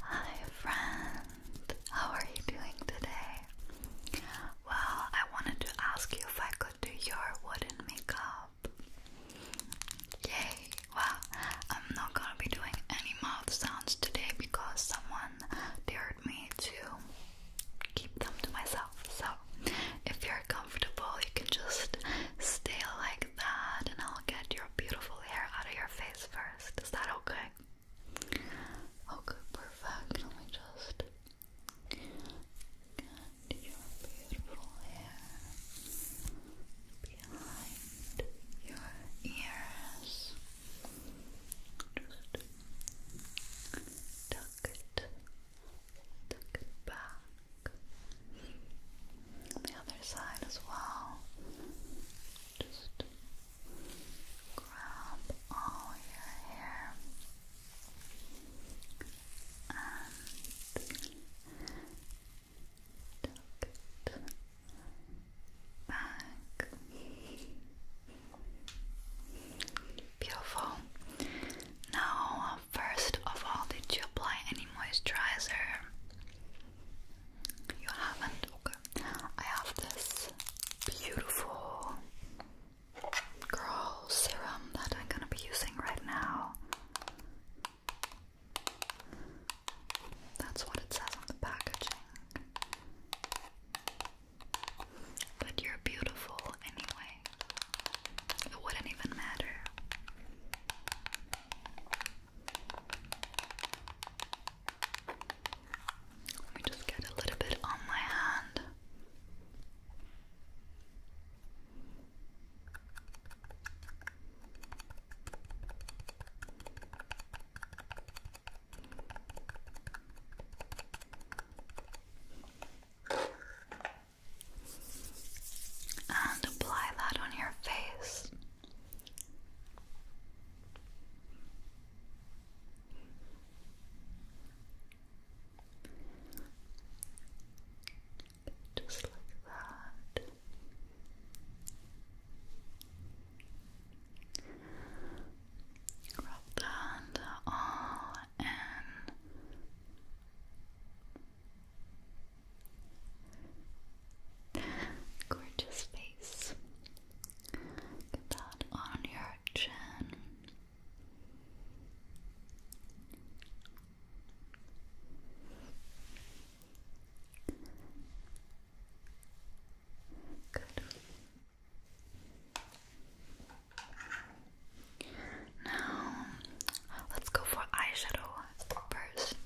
Hi friend, how are you doing today? Well, I wanted to ask you if I could do your wooden makeup. Yay! Well, I'm not gonna be doing any mouth sounds today because someone dared me to keep them to myself. So, if you're comfortable, you can just stay like that and I'll get your beautiful hair out of your face. Is that okay? Okay, perfect. just behind your ears. Just it, tuck it back the other side as well. Just grab all your hair and tuck it back. Beautiful. Now, first of all, did you apply any moisturizer? You haven't? I have this beautiful girl serum that I'm gonna be using right now. That's what it says on the packaging. But you're beautiful anyway. It wouldn't even matter. Let me just get a little bit on my hand. And apply that on your face. Just like that. Rub that all in. Gorgeous face. that on your chin. Good. Now, let's go for eyeshadow first.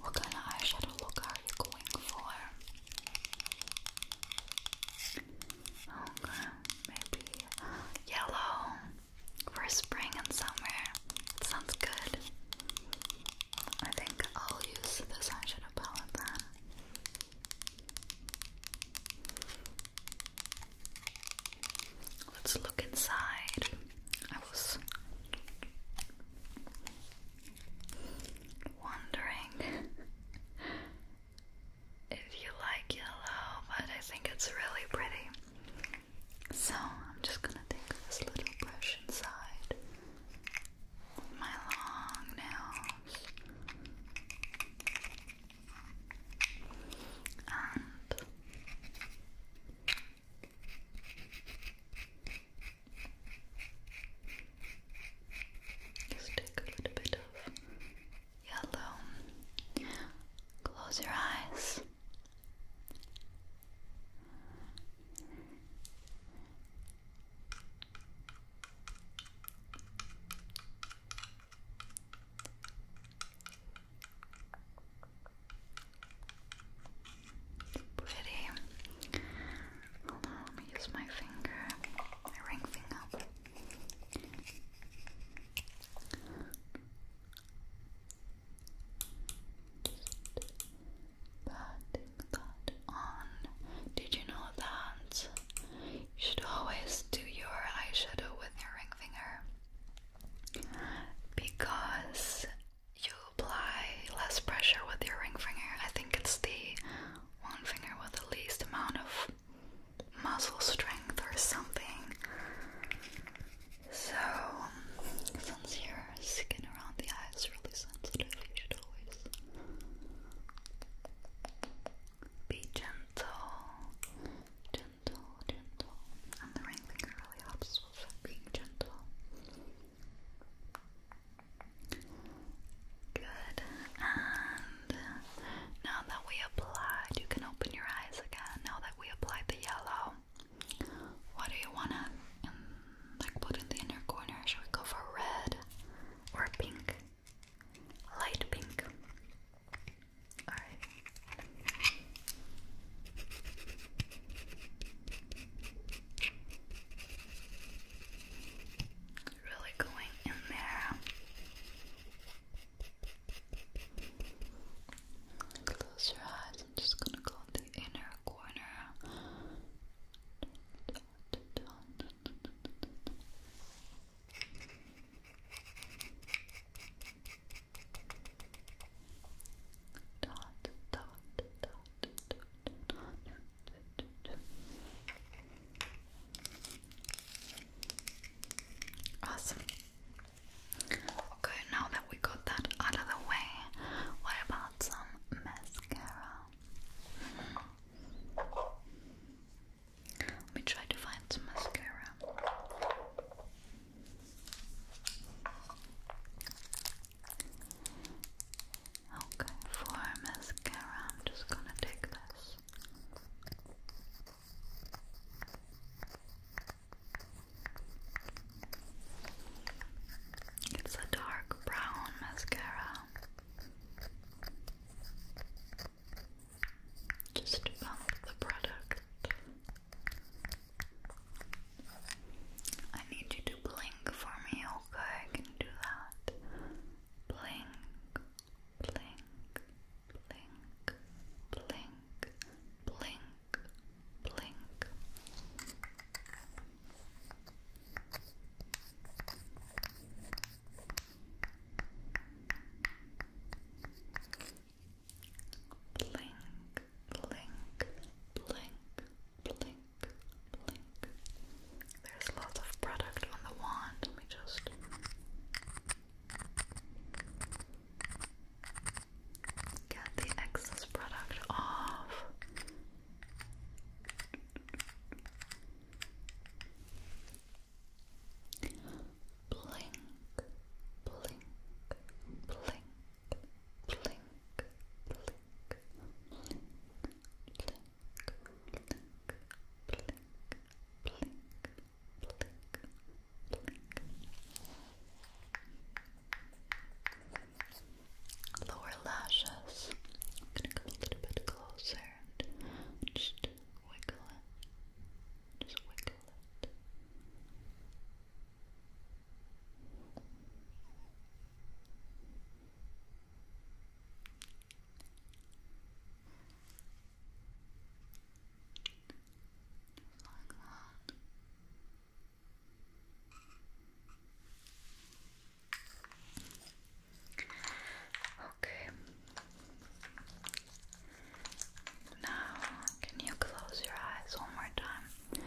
What kind of eyeshadow look are you going for? maybe yellow for spring and summer. sounds good. I think I'll use this eyeshadow palette Let's look inside. I was wondering if you like yellow, but I think it's really pretty. So I'm just gonna take this little brush inside my long nails just take a little bit of yellow. Close your eyes. Pretty. Hold on, let me use my finger, my ring finger. Patting Did you know that you should always do your eyeshadow with your ring finger? because you apply less pressure with your ring finger. I think it's the one finger with the least amount of muscle strength or something. So, since your skin around the eye is really sensitive, you should always be gentle, gentle, gentle. And the ring really helps with being gentle. Good. And now that we applied, you can open your eyes again. Now that we applied the yellow, what do you wanna like put in the inner corner? Should we go for red or pink? Light pink. Really going in there. Close your eyes. I'm just gonna go in the inner corner. Awesome. Okay, now that we got that out of the way, what about some mascara? Let me try to find some mascara. Okay, for mascara, I'm just gonna take this. It's a dark brown mascara. Just pump the product. I need you to blink for me, okay? I can do that. Blink, blink, blink, blink, blink, blink blink, blink, blink, blink, blink. There's lots of product on the wand. Let me just. Get the excess product off blink, blink, blink, blink, blink, blink, blink, blink, blink, blink, blink, blink. Lower lashes. I'm gonna come a little bit closer and just wiggle it. Just wiggle it. Just like that. Okay, now, can you close your eyes one more time?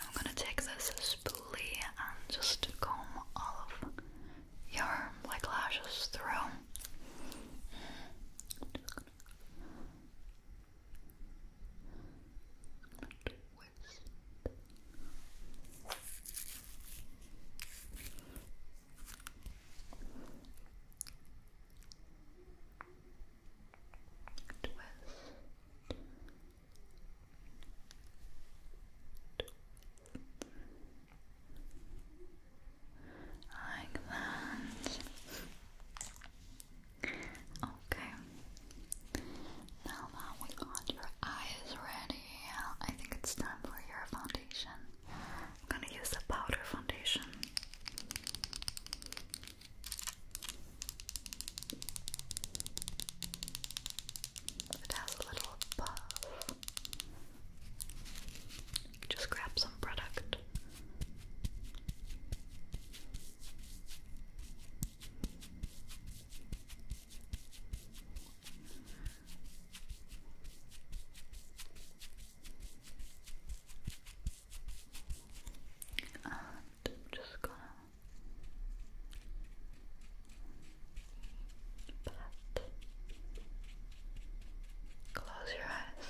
I'm gonna take this spoolie and just comb all of your like lashes through. Like that. Okay. Now that we got your eyes ready, I think it's time for your foundation. I'm gonna use a powder foundation. It has a little puff. Just grab some product. I'm just gonna pat. Close your eyes.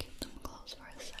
Keep them closed for a second.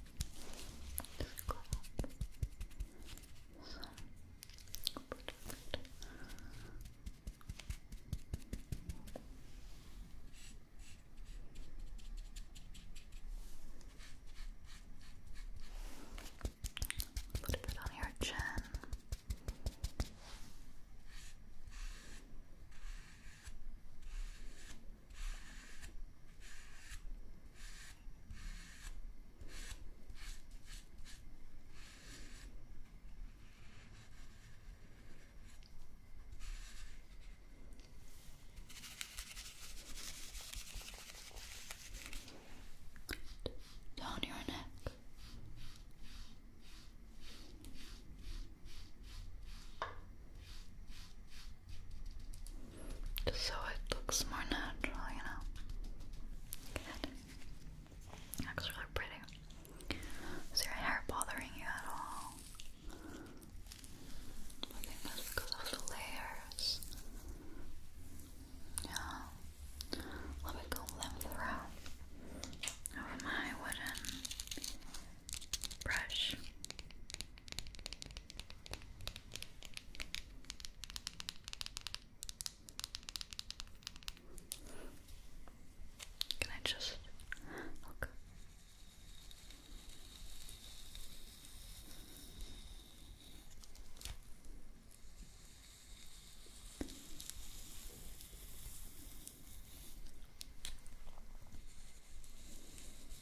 Just grab Put a on your chin. Down your neck. Just so it looks more natural, you know. Good. Looks really pretty. Is your hair bothering you at all? I think that's because of the layers. Yeah. Let me comb them through with my wooden brush. Can I just look?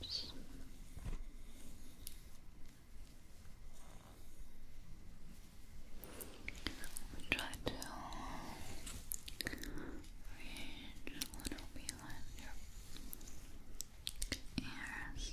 Oops. Try to reach a little behind your ears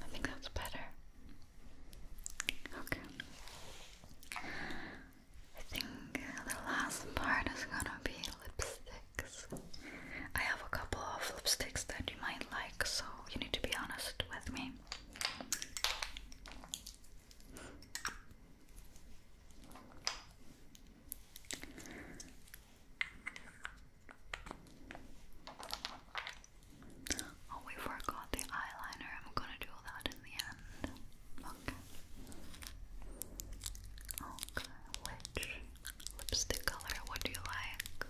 I think that's better. Okay. I think the last part is gonna be lipsticks. I have a couple of lipsticks that you might like, so you need to be honest with me. Oh, we forgot the eyeliner. I'm gonna do that in the end. Okay. Okay, which lipstick color would you like?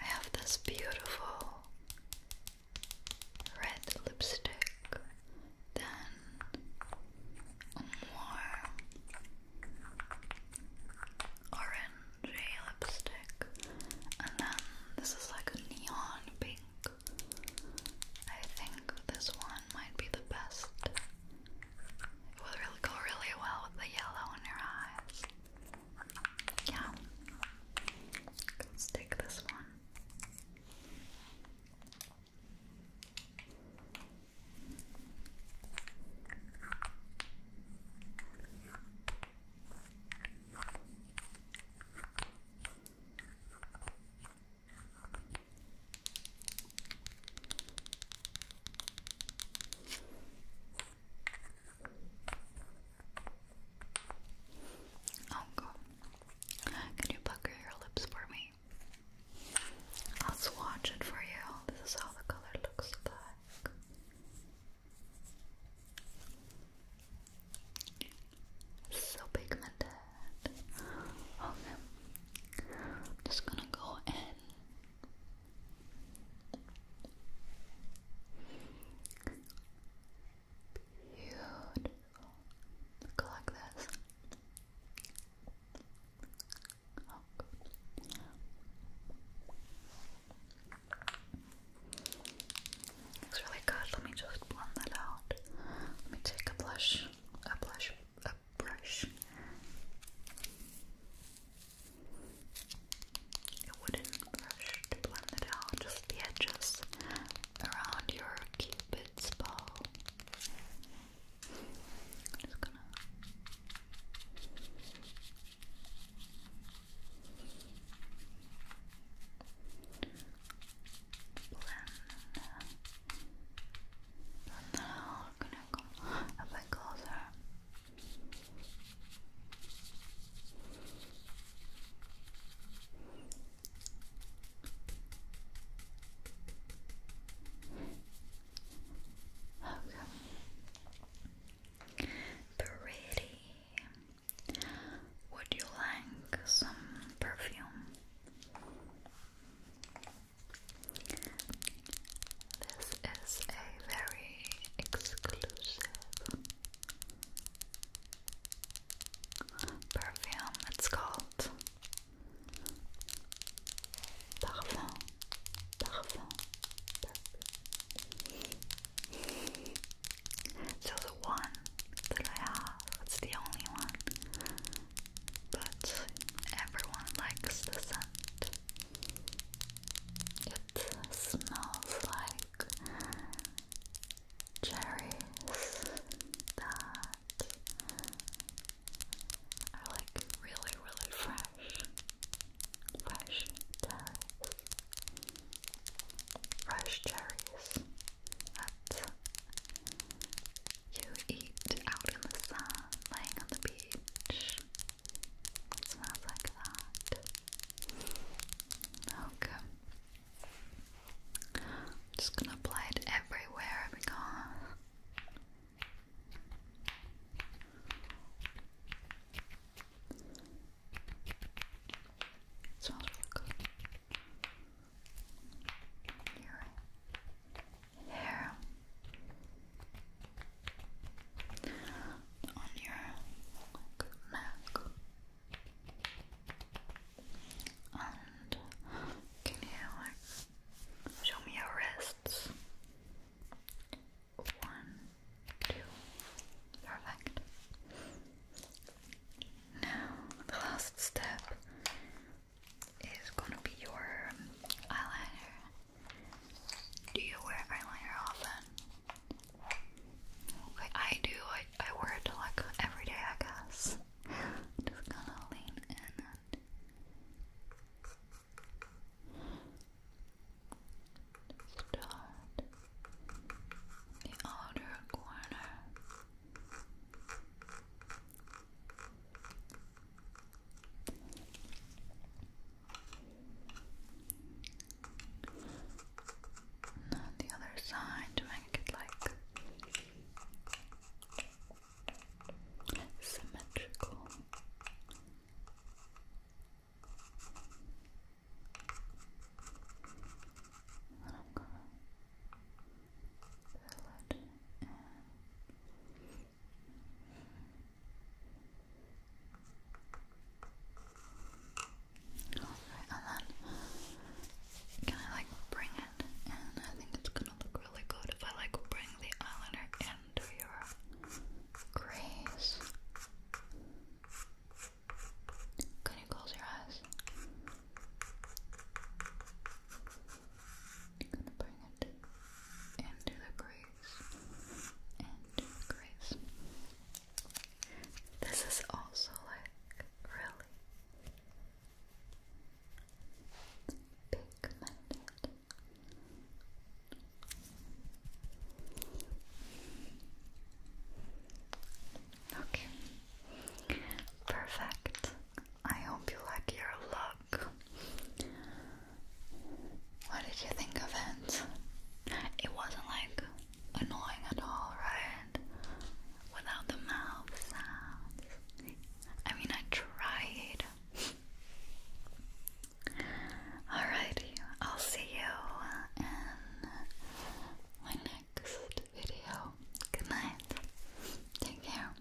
I have this beautiful red lipstick, then more orangey lipstick, and then this is like a neon pink. I think this one might be the best it will really go really well with the yellow in your eyes. Yeah. let this one. Oh Can you pucker your lips for me? I'll swatch it for you. This is how the color looks like. So pigmented. Okay. just gonna go in Beautiful. Go like this. Oh, good. really good. Let me just blend that out. Let me take a blush. A blush a brush. A wooden brush to blend it out, just the edges around your cupid's bow. I'm just gonna blend. And now I'm gonna gonna go a bit closer. Okay. Pretty. Would you like some perfume? This is a very exclusive perfume. It's called Parfum. Parfum. So the one that I have, it's the only one but everyone likes the scent. It smells like cherries that are like really, really fresh. Fresh cherries. You eat out in the sun, laying on the beach. smells like that. Okay. just gonna apply it everywhere because it smells really you hair on your neck. And can you like show me your wrists? One, two, perfect. Now the last step is gonna be your eyeliner. Do you wear eyeliner often? I do. I, I wear it like every day, I guess. Just gonna lean in and. Start the outer corner and on the other side to make it like symmetrical. And I'm gonna fill it Alright, and then can I like bring it in? I think it's gonna look really good if I like bring the eyeliner into your crease. Can you close your eyes? gonna bring it into the crease, into crease. This is also like really pigmented. Okay, perfect. I hope you like your look. What did you think of it? It wasn't like annoying at all, right? Without the mouth sounds. I mean, I tried. Alrighty, I'll see you in my next video. Good night. Take care.